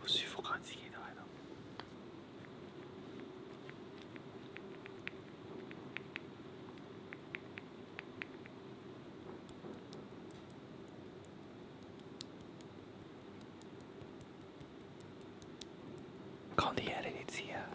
不舒服感自己都喺度。講啲嘢你哋知啊。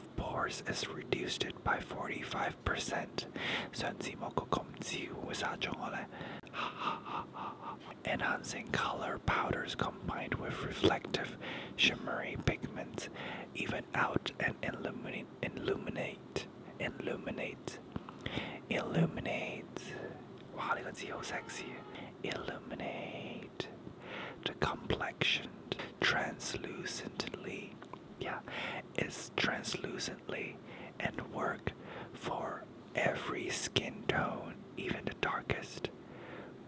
of pores is reduced by 45%. So Enhancing color powders combined with reflective, shimmery pigments even out and illuminate, illuminate, illuminate, illuminate. Wow, that's so sexy. Illuminate the complexion translucently yeah, is translucently and work for every skin tone, even the darkest,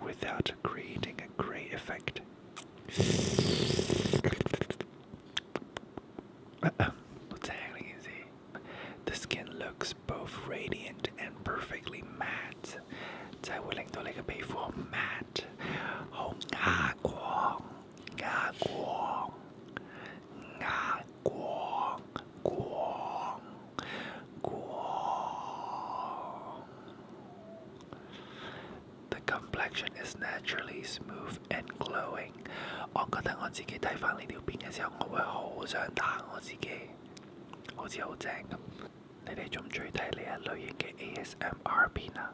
without creating a gray effect. the skin looks both radiant and perfectly matte. 在我领头那个皮肤 matte 红发光。Oh, ah, Nga Guang, Nga Guang, Guang, Guang. The complexion is naturally smooth and glowing. 我覺得我自己睇翻呢條片嘅時候，我會好想打我自己，好似好正咁。你哋中唔中意睇呢一類型嘅 ASMR 片啊？